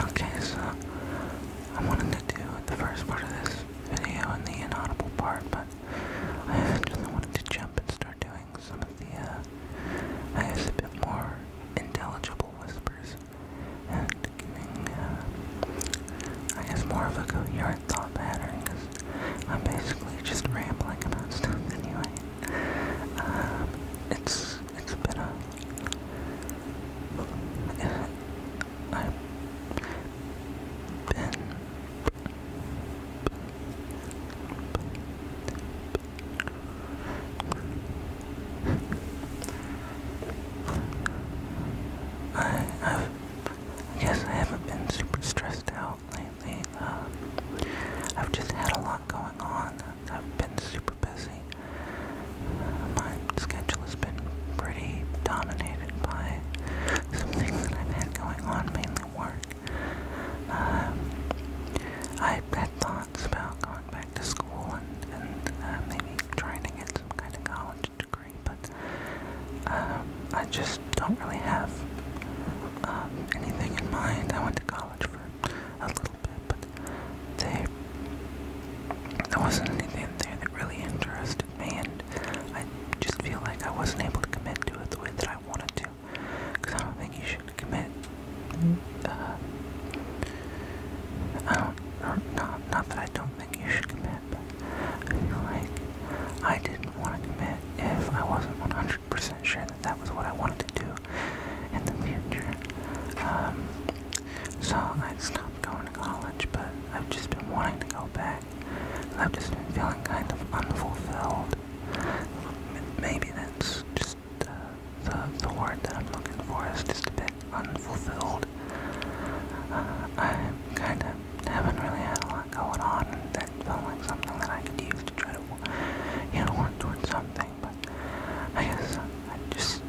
Okay, so I wanted to do the first part of this video in the inaudible part, but I eventually wanted to jump and start doing some of the, uh, I guess a bit more intelligible whispers and giving, uh, I guess more of a coherent thought pattern because I'm basically just rambling about stuff anyway. Um, it's it's it's been a I've been I have I I haven't been super stressed out lately. Uh, I've just had a lot going on. I've been super busy. My schedule has been pretty dominated by some things that I've had going on, mainly work. Um, I had thoughts about going back to school and, uh, maybe trying to get some kind of college degree, but um, I just don't really have um, anything in mind. I went to college for a little little bit, but they there wasn't anything there that really interested me, and I just feel like I wasn't able to commit to it the way that I wanted to. Because I don't think you should commit. Uh, I don't, or not, not that I don't think you should commit, but I feel like I didn't want to commit if I wasn't 100% sure that was what I wanted to do in the future. Um, so I stopped going to college, but I've just been wanting to go back. I've just been feeling kind of unfulfilled. Maybe that's just the, the word that I'm looking for is just a bit unfulfilled. Uh, I kind of haven't really had a lot going on, and that felt like something that I could use to try to, you know, work towards something but I guess I just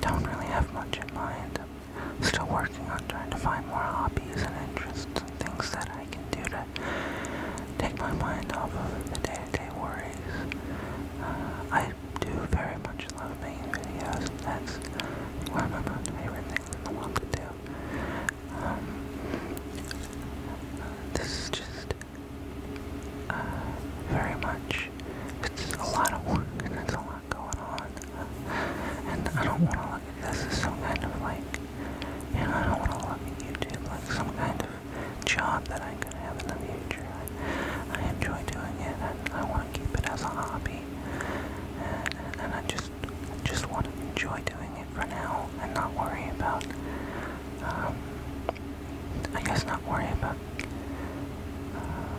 don't really have much in mind. still working on trying to find more hobbies and interests and things that I can do to take my mind off of the day-to-day worries. Uh, I do very much love making videos. That's one of my favorite things in the world to do. Um, this is just uh, very much. It's a lot of work and there's a lot going on. And I don't want to look at this as some kind of like, you know, I don't want to look at YouTube like some kind of job that I am going to have in the future. I, enjoy doing it and I want to keep it as a hobby. And, and I just, just want to enjoy doing it for now and not worry about um, I guess not worry about uh,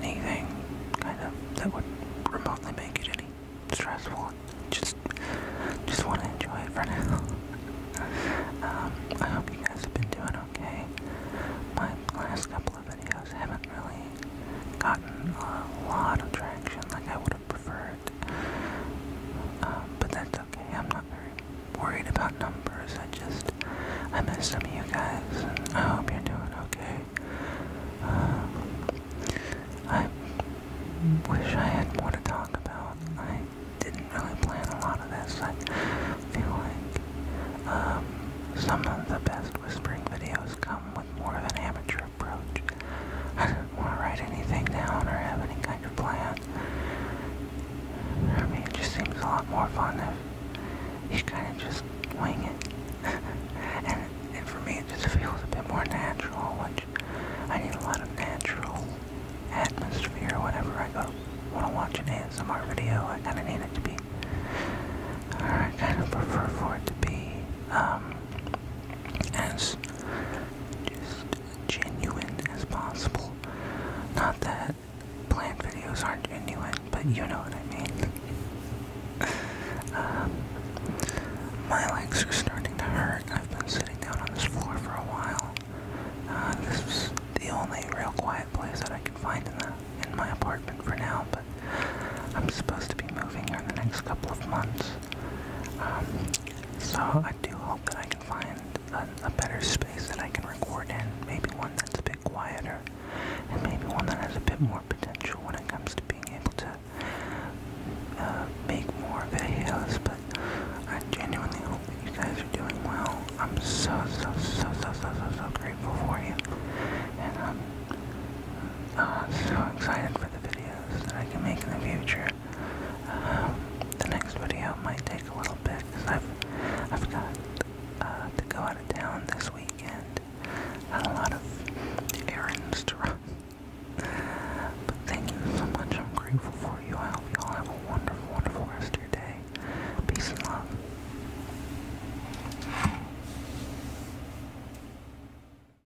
anything kind of that would remotely make it any stressful. Just, just want to enjoy it for now. Um, I hope you guys have been doing okay. My last couple of videos haven't really gotten a lot of traction like I would would have uh, but that's okay. I'm not very worried about numbers. I just I miss some of you guys, and I hope you're doing okay. Uh, I wish I had more to talk about. I didn't really plan a lot of this. I feel like um, some of the best whispering videos come with more than amateur approach. I do not want to write anything down or have any kind of plan. I mean, it just seems a lot more fun Just kind of just wing it. and, for me, it just feels a bit more natural, which I need a lot of natural atmosphere whenever I go want to watch an art video. I kind of need it to be, I kind of prefer for it to be, um, as just genuine as possible. Not that planned videos aren't genuine, but you know what I mean. Um, my legs are starting to hurt. I've been sitting down on this floor for a while. Uh, this is the only real quiet place that I can find in the in my apartment for now, but I'm supposed to be moving here in the next couple of months. Um, so I do hope that I can find a, a better space that I can record in. Maybe one that's a bit quieter, and maybe one that has a bit more potential when it comes to being able to uh, make more videos. But I genuinely hope that you guys are doing well. I'm so so so so so so so grateful for you, and I'm uh, so excited for the video that I can make in the future. Um, the next video might take a little bit because I've, I've got uh, to go out of town this weekend. a lot of errands to run. But thank you so much. I'm grateful for you. I hope you all have a wonderful, wonderful rest of your day. Peace and love.